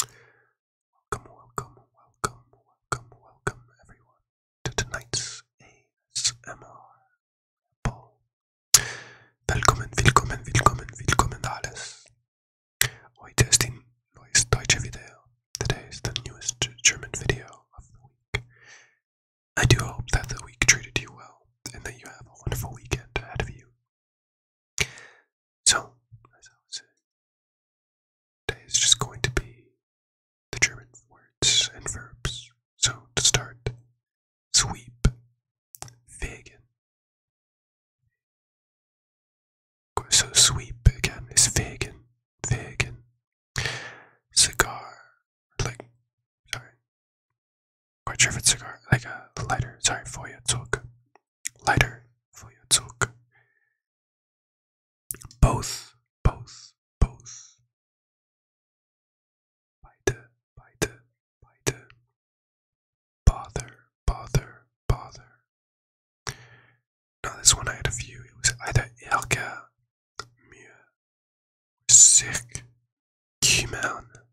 Welcome, welcome, welcome, welcome, welcome, everyone, to tonight's ASMR poll. Willkommen, willkommen, willkommen, willkommen, alles. Heute ist ein neues deutsche Video. Today is the newest German video of the week. I do hope that the week treated you well and that you have a wonderful weekend ahead of you so, today is just going to be the German words and verbs. So, to start, sweep, vegan. So, sweep again is vegan. Vegan. Cigar, like, sorry. Quite sure if it's cigar, like a lighter, sorry, Feuerzeug lighter for your talk. Both, both, both. Beide, beide, beide. Bother, bother, bother. Now this one I had a few. It was either elka, Mir, Sick, Kimon,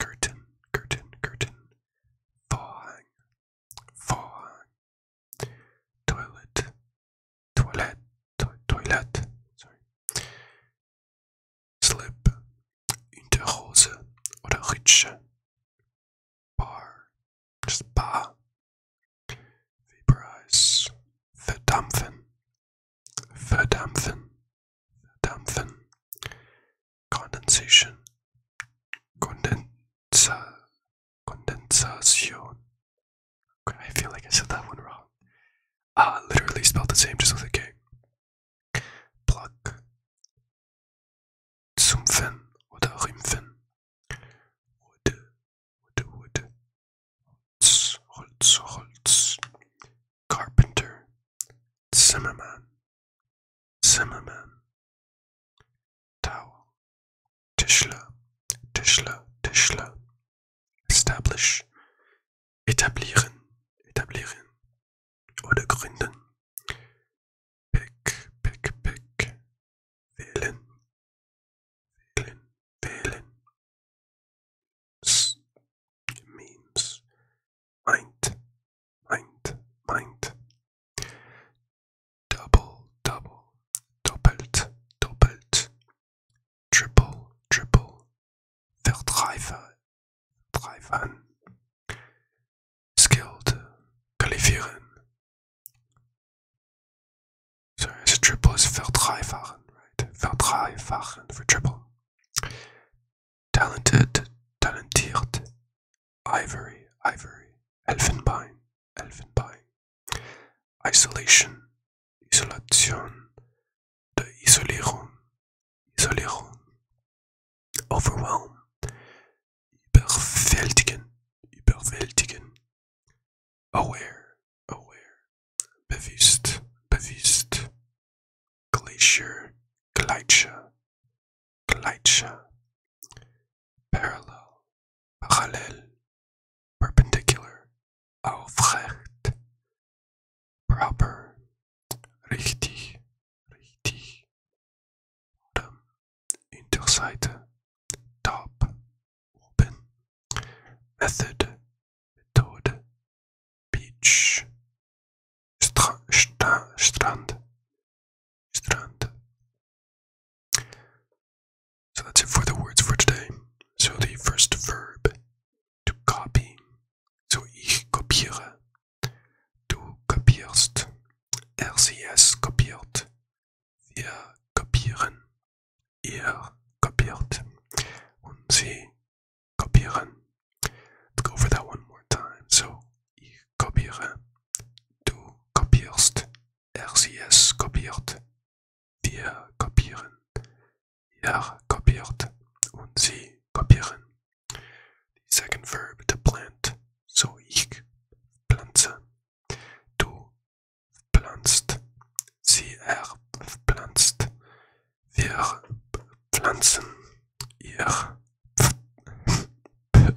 Curtain, curtain, curtain. Vorhang, vorhang. Toilet, toilet, toilet. Sorry. Slip, Unterhose oder Ritsche. Bar, just bar. Vaporize, verdampfen, Verdampfen, verdampfen. Condensation, condensa, condensation. I feel like I said that one wrong. Uh, literally spelled the same, just with a K. Pluck, zumpfen oder rümpfen. Wood, wood, wood. Holz, Holz, Holz. Carpenter, Zimmerman, Zimmerman, Towel, Tischler, Tischler, Tischler, Establish, Etablieren, Etablieren oder Gründen, Pick, Pick, Pick, Wählen, Wählen, Wählen, S means mind, mind, mind. Double, double, doppelt, doppelt. Triple, triple. Verdreifer, dreifern. Skilled, qualifieren. So triple is verdreifachen, right? Verdreifachen for triple. Talented, talentiert. Ivory, ivory. Elfenbein, elfenbein. Isolation, isolation. De isolierung, isolierung. Overwhelm. Überwältigen, überwältigen. Aware, aware. Bewusst, bewusst. Glacier, Gleitscher, Gleitscher. Parallel, parallel. Perpendicular, aufrecht. Proper, richtig, richtig. Bottom, Unterseite, top, open, method, method, beach, stra, stra, strand, strand. So that's it for the words for today. So the first verb, to copy. So ich kopiere. Du kopierst. RCS kopiert. Wir kopieren ihr kopiert und sie kopieren. Let's go over that one more time. So, ich kopiere, du kopierst, er sie es kopiert, wir kopieren, er kopiert und sie The second verb to plant. So, ich pflanze, du pflanzt. Sie erpflanzt. Wir pflanzen. Ihr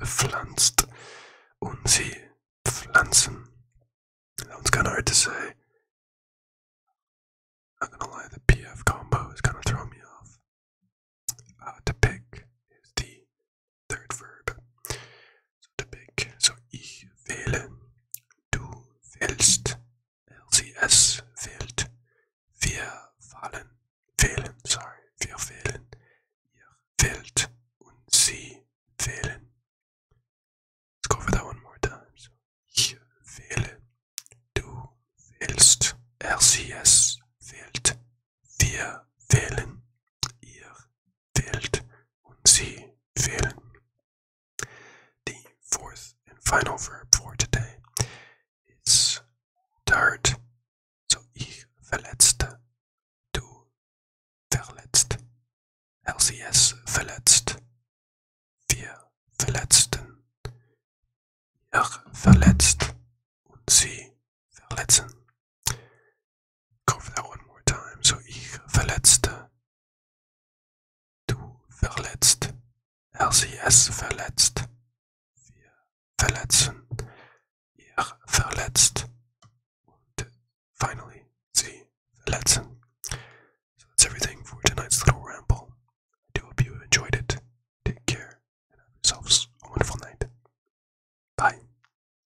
pflanzt. Und sie pflanzen. Sounds kind of hard to say. Not gonna lie, the PF combo is kind of throwing me off. Uh, to pick is the third verb. to pick. So ich wähle. du willst. LCS wählt. Wir fallen, wählen, sorry, wir wählen. Ihr wählt und sie wählen. Let's go for that one more time. So, ich wähle, du wählst. LCS wählt. Wir wählen, ihr fehlt und sie fehlen. The fourth and final verb for today is hurt. So ich verletzte, du verletzt, LCS verletzt, wir verletzten, ihr verletzt und sie verletzen. Go for that one more time. So ich verletzte. Du verletzt. Er sie es verletzt. Wir verletzen. Ihr er verletzt. And finally, sie verletzen. So that's everything for tonight's little ramble. I do hope you enjoyed it. Take care and have yourselves a wonderful night. Bye.